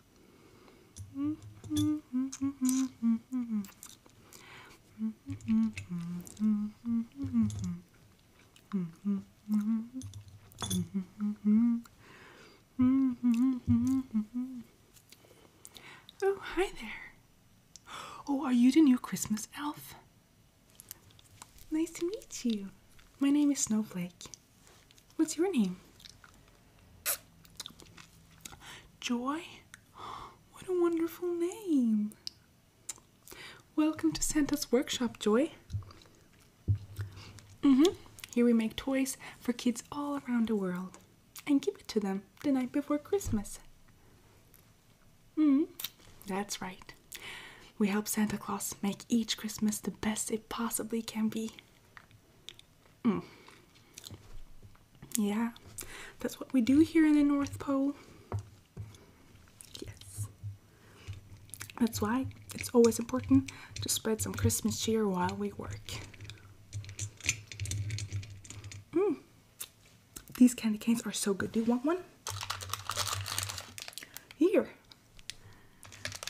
Oh, hi there. Oh, are you the new Christmas elf? Nice to meet you. My name is Snowflake. What's your name? Joy? What a wonderful name! Welcome to Santa's Workshop, Joy. Mm-hmm. Here we make toys for kids all around the world and give it to them the night before Christmas. Mm, that's right. We help Santa Claus make each Christmas the best it possibly can be. Mm. Yeah, that's what we do here in the North Pole. Yes. That's why it's always important to spread some Christmas cheer while we work. Mm. These candy canes are so good. Do you want one? Here.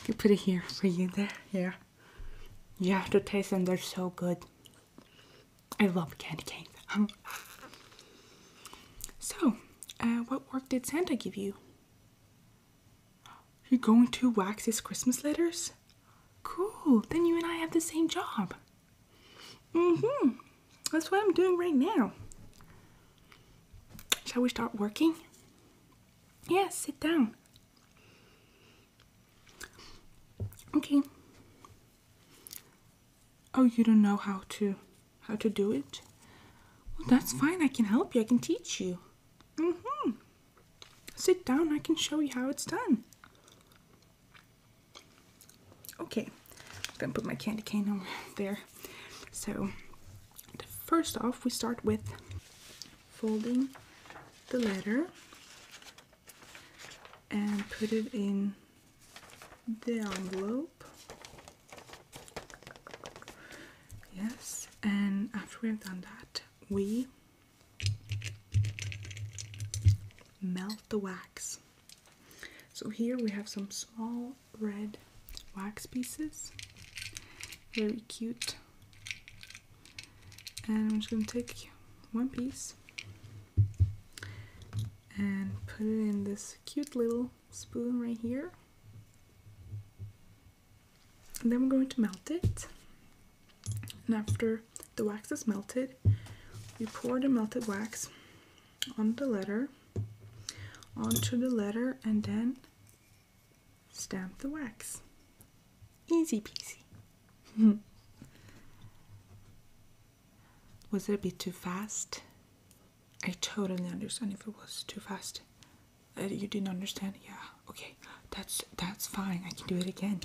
You put it here for you there. Yeah. You have to taste them. They're so good. I love candy canes. Um, so, uh, what work did Santa give you? You're going to wax his Christmas letters? Cool, then you and I have the same job. Mm-hmm. That's what I'm doing right now. Shall we start working? Yes, sit down. Okay. Oh, you don't know how to how to do it? Well, that's fine. I can help you. I can teach you. Mhm. Sit down. I can show you how it's done. Okay. I'm going to put my candy cane over there. So, first off, we start with folding the letter and put it in the envelope. Yes, and after we have done that, we melt the wax. So here we have some small red wax pieces, very cute and I'm just going to take one piece and put it in this cute little spoon right here and then we're going to melt it and after the wax is melted we pour the melted wax on the letter onto the letter and then stamp the wax Easy peasy. was it a bit too fast? I totally understand if it was too fast. Uh, you didn't understand? Yeah, okay. That's that's fine. I can do it again.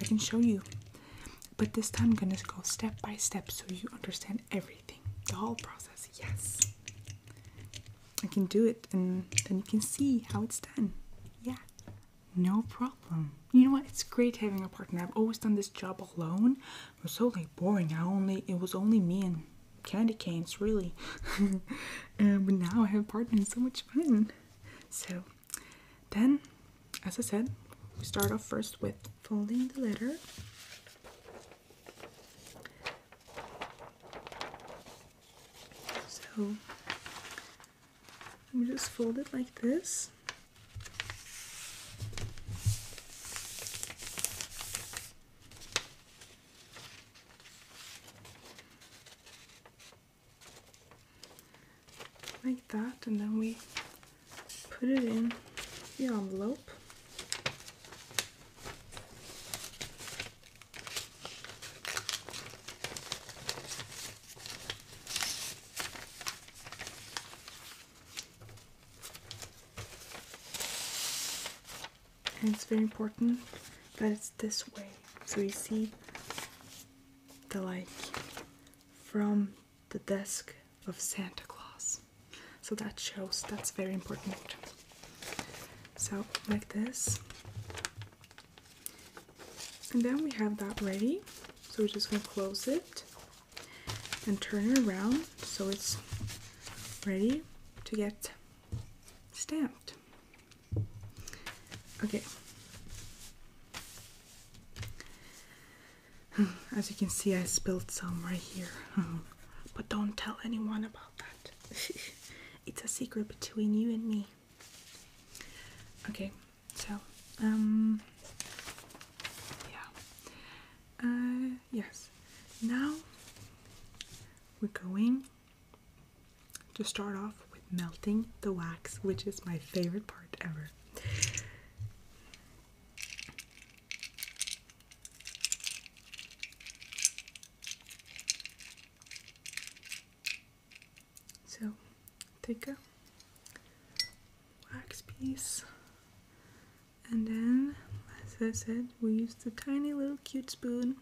I can show you. But this time I'm gonna go step by step so you understand everything. The whole process. Yes. I can do it and then you can see how it's done. Yeah. No problem. You know what? It's great having a partner. I've always done this job alone. It was so like boring. I only it was only me and candy canes really. and but now I have a partner. It's so much fun. So then, as I said, we start off first with folding the letter. So we just fold it like this like that and then we put it in the envelope and it's very important that it's this way. So you see the light from the desk of Santa Claus. So that shows that's very important. So like this. And then we have that ready. So we're just going to close it and turn it around so it's ready to get stamped. Okay. As you can see, I spilled some right here. but don't tell anyone about that. it's a secret between you and me. Okay, so um yeah. Uh yes. Now we're going to start off with melting the wax, which is my favorite part ever. So take a wax piece and then as I said we use the tiny little cute spoon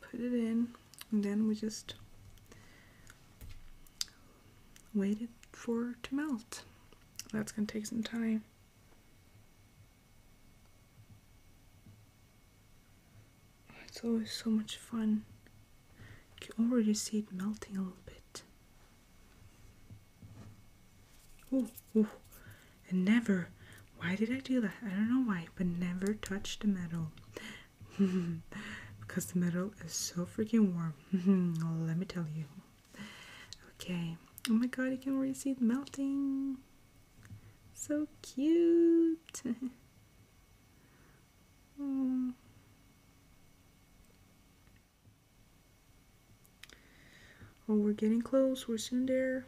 put it in and then we just wait it for to melt. That's gonna take some time. It's always so much fun you already see it melting a little bit. Oh, oh! And never, why did I do that? I don't know why, but never touch the metal. because the metal is so freaking warm. Let me tell you. Okay. Oh my god, you can already see it melting. So cute. Hmm. Oh, we're getting close. We're soon there.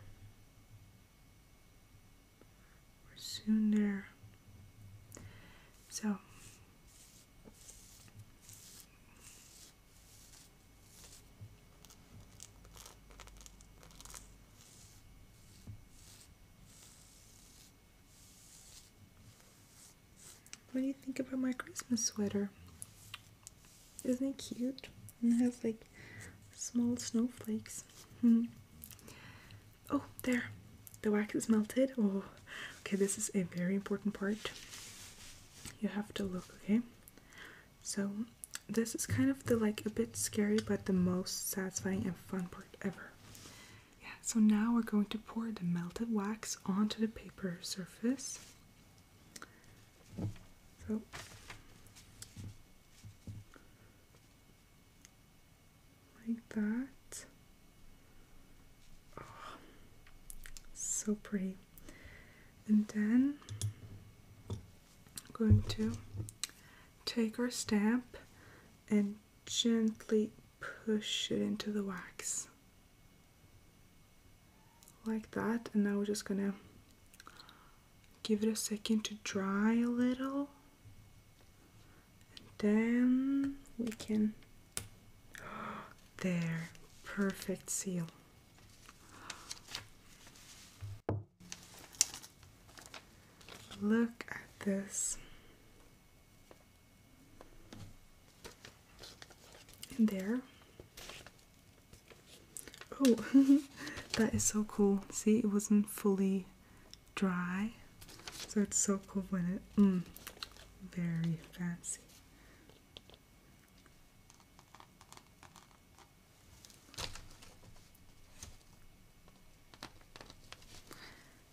We're soon there. So. What do you think about my Christmas sweater? Isn't it cute? it has like small snowflakes. Hmm. Oh, there. The wax is melted. Oh, okay, this is a very important part. You have to look, okay? So, this is kind of the like a bit scary but the most satisfying and fun part ever. Yeah, so now we're going to pour the melted wax onto the paper surface. So like that. Oh, so pretty. And then I'm going to take our stamp and gently push it into the wax like that and now we're just gonna give it a second to dry a little and then we can there perfect seal look at this in there. Oh, that is so cool. See, it wasn't fully dry. So it's so cool when it, mm, very fancy.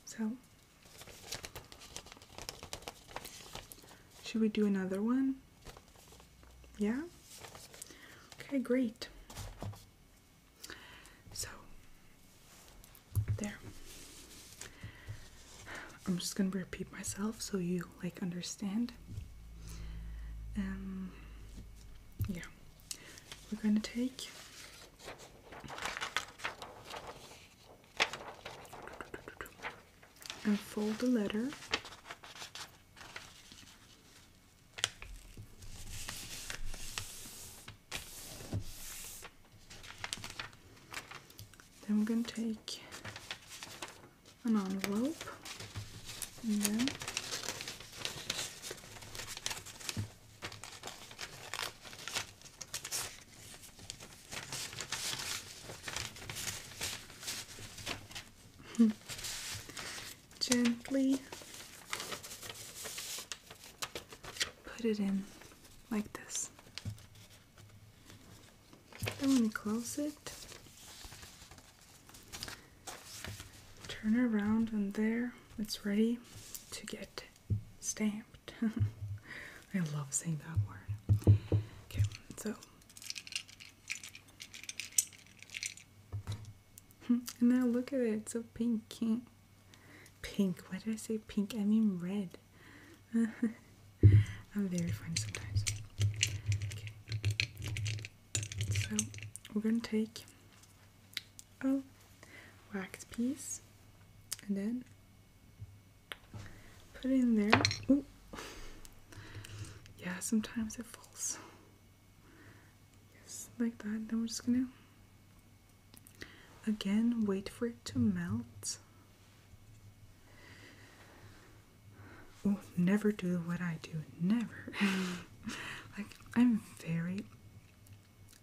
So should we do another one? Yeah? Okay, great. So, there. I'm just gonna repeat myself so you like understand. Um, yeah, we're gonna take and fold the letter then we're going to take an envelope and then Hmm. Gently put it in like this. Then, when you close it, turn around, and there it's ready to get stamped. I love saying that word. Okay, so. And now look at it, it's so pinky. Pink, why did I say pink? I mean red. I'm very funny sometimes. Okay. So, we're gonna take a wax piece and then put it in there. Yeah, sometimes it falls. Yes, like that. Then we're just gonna again wait for it to melt. Oh, never do what I do. Never. like I'm very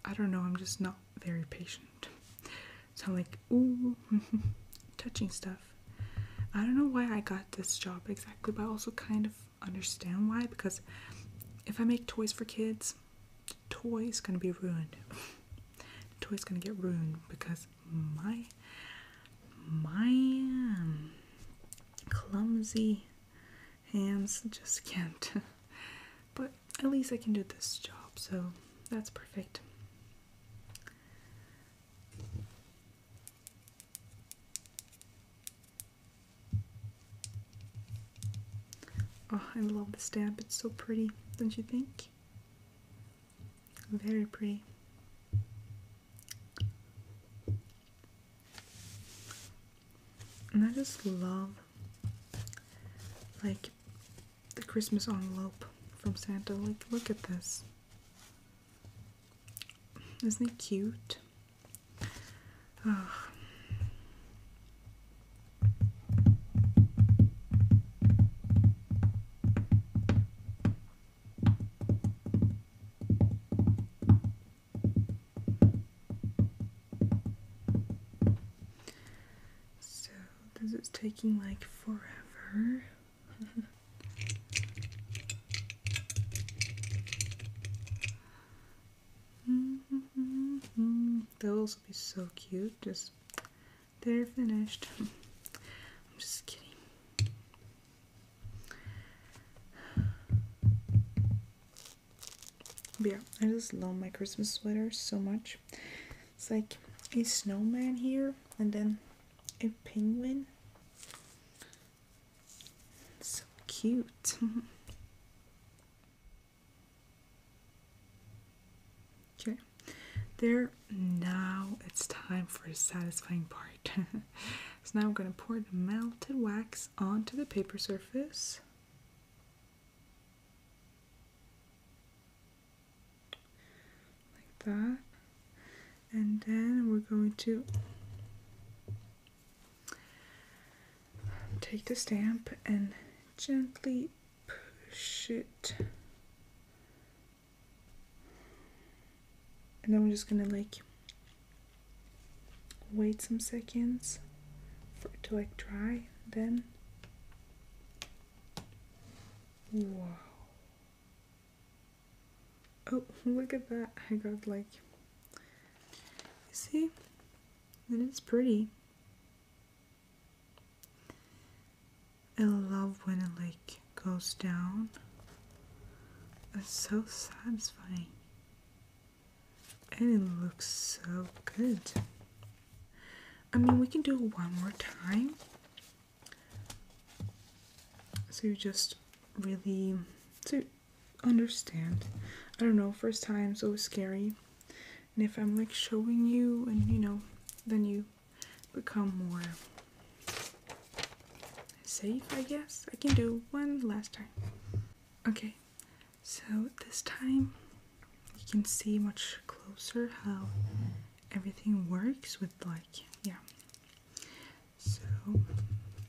I don't know, I'm just not very patient. So I'm like, ooh, touching stuff. I don't know why I got this job exactly, but I also kind of understand why because if I make toys for kids, toys gonna be ruined. toys gonna get ruined because my my um, clumsy hands just can't. but at least I can do this job, so that's perfect. Oh, I love the stamp. It's so pretty, don't you think? Very pretty. And I just love like the Christmas envelope from Santa. Like, look at this. Isn't it cute? So because it's taking like forever. Those -hmm. will be so cute. Just they're finished. I'm just kidding. yeah, I just love my Christmas sweater so much. It's like a snowman here and then a penguin. So cute. okay. There now it's time for the satisfying part. so now I'm gonna pour the melted wax onto the paper surface like that and then we're going to take the stamp and gently push it and then we're just gonna like wait some seconds for it to like dry then Wow. Oh, look at that. I got like, see, it is pretty. I love when it like goes down. That's so satisfying. And it looks so good. I mean, we can do it one more time. So you just really to understand. I don't know, first time so scary. And if I'm like showing you and you know, then you become more safe, I guess. I can do one last time. Okay, so this time you can see much closer how everything works with like yeah so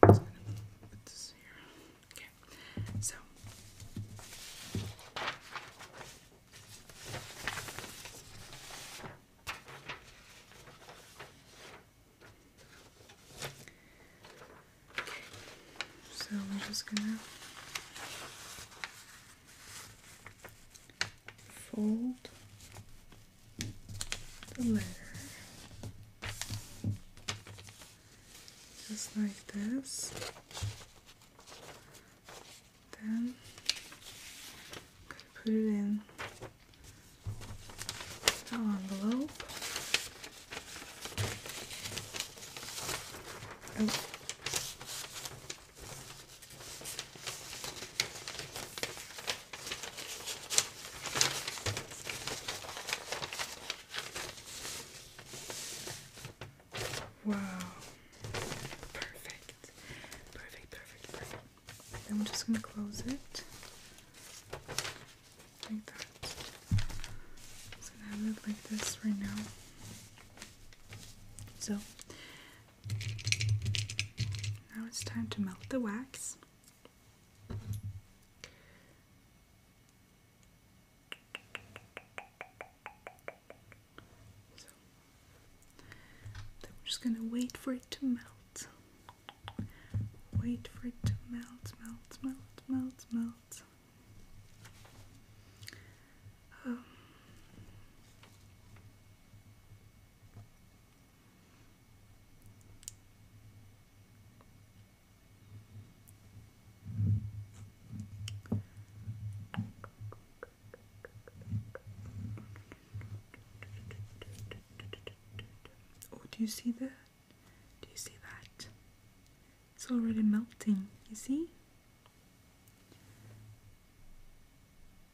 I'm just gonna so we're just gonna fold the letter just like this. Then put it in the envelope. Oh. Wow. Perfect. Perfect, perfect, perfect. I'm just going to close it like that. I'm just like this right now. So, now it's time to melt the wax. So then we're just gonna wait for it to melt. Wait for it to melt, melt, melt, melt, melt. Oh, do you see that? Do you see that? It's already melting, you see?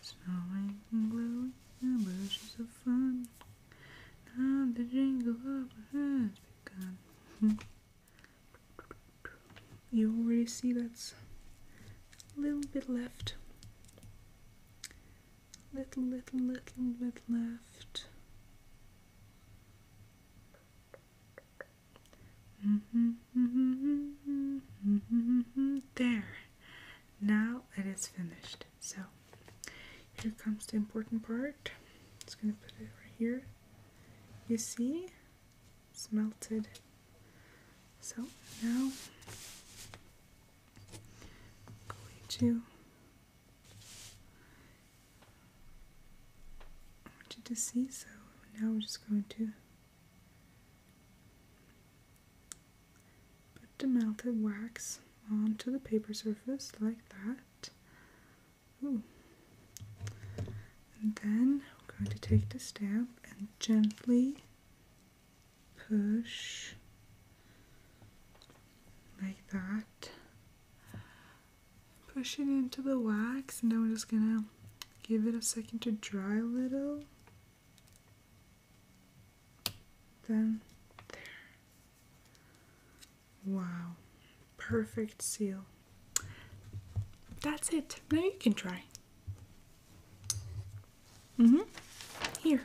Snowing and blowing and bushes are fun. Now the jingle hop has begun. you already see that's a little bit left. Little, little, little bit left. Mm-hmm, mm-hmm, mm-hmm, there now it is finished. So here comes the important part. It's gonna put it right here. You see, it's melted. So now I'm going to want you to see so now I'm just going to Put the melted wax onto the paper surface like that. Ooh. And then I'm going to take the stamp and gently push like that. Push it into the wax and now we're just gonna give it a second to dry a little. Then there. Wow, perfect seal. That's it. Now you can try. Mm hmm. Here.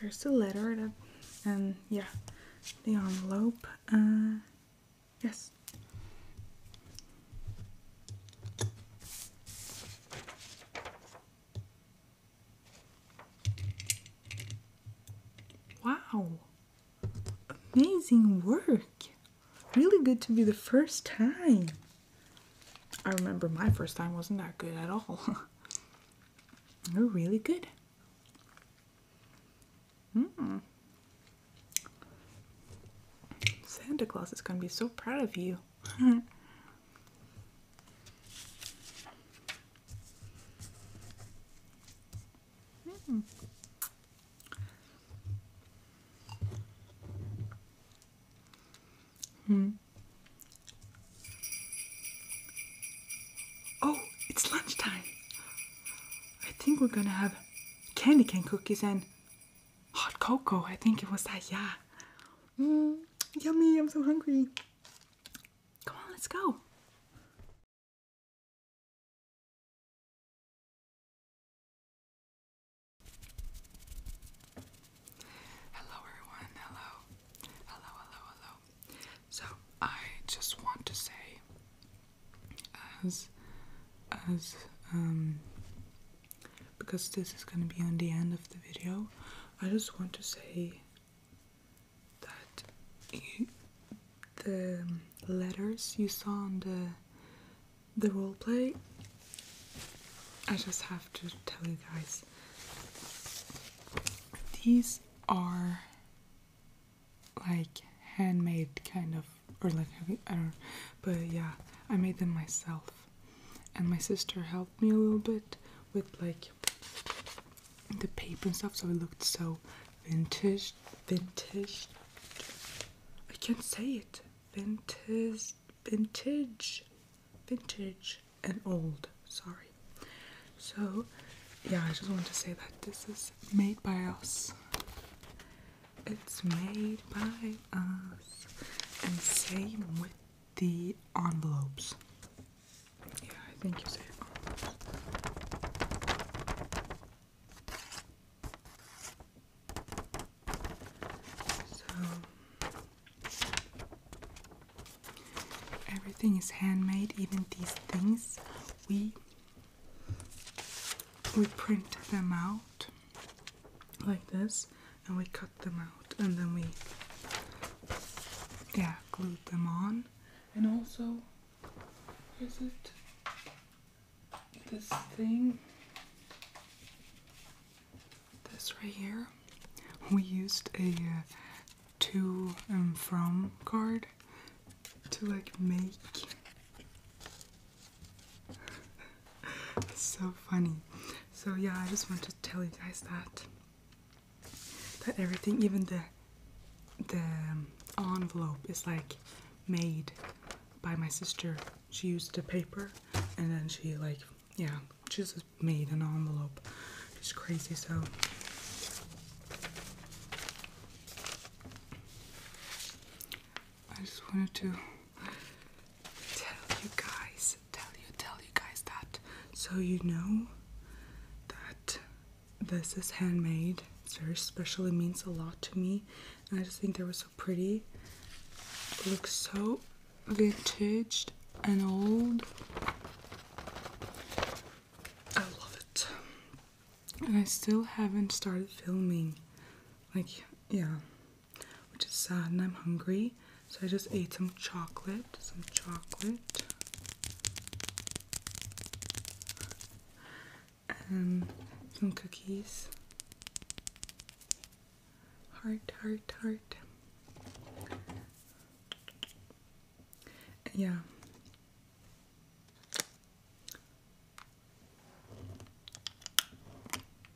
There's the letter that, and yeah, the envelope. Uh, yes. Wow, amazing work! Really good to be the first time. I remember my first time wasn't that good at all. you are really good. Mm Santa Claus is going to be so proud of you. mm. Hmm. Oh, it's lunchtime. I think we're gonna have candy cane cookies and hot cocoa. I think it was that, yeah. Mm, yummy, I'm so hungry. Come on, let's go. Hello, everyone. Hello. Hello, hello, hello. So, I just want to say, as, as, um, because this is going to be on the end of the video, I just want to say that the letters you saw on the the role play, I just have to tell you guys. These are like handmade kind of, or like I don't, but yeah, I made them myself and my sister helped me a little bit with like the paper and stuff so it looked so vintage vintage I can't say it vintage vintage vintage and old sorry so yeah I just want to say that this is made by us it's made by us. And same with the envelopes. Yeah, I think you said envelopes. So everything is handmade, even these things. We we print them out like this and we cut them out and then we yeah glued them on and also is it this thing this right here we used a uh, to and from card to like make so funny. So yeah, I just want to tell you guys that that everything, even the the um, envelope, is like made by my sister. She used the paper, and then she like yeah, she just made an envelope. It's crazy, so. I just wanted to tell you guys, tell you, tell you guys that so you know that this is handmade. It's very special, it means a lot to me. I just think they were so pretty. looks so vintage and old. I love it. And I still haven't started filming. Like, yeah, which is sad and I'm hungry. So I just ate some chocolate, some chocolate. and um, some cookies. Heart, heart, heart. Yeah.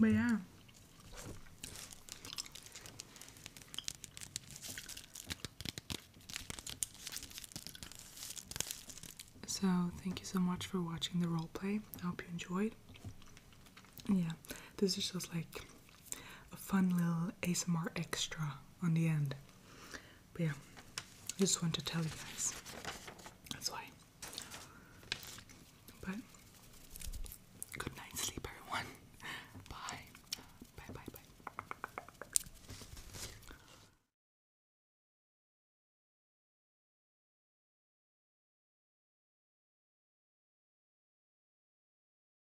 But yeah. So thank you so much for watching the role play. I hope you enjoyed. Yeah, this is just like a fun little ASMR extra on the end. But yeah, I just want to tell you guys. That's why. But good night, sleep, everyone. Bye. Bye, bye, bye.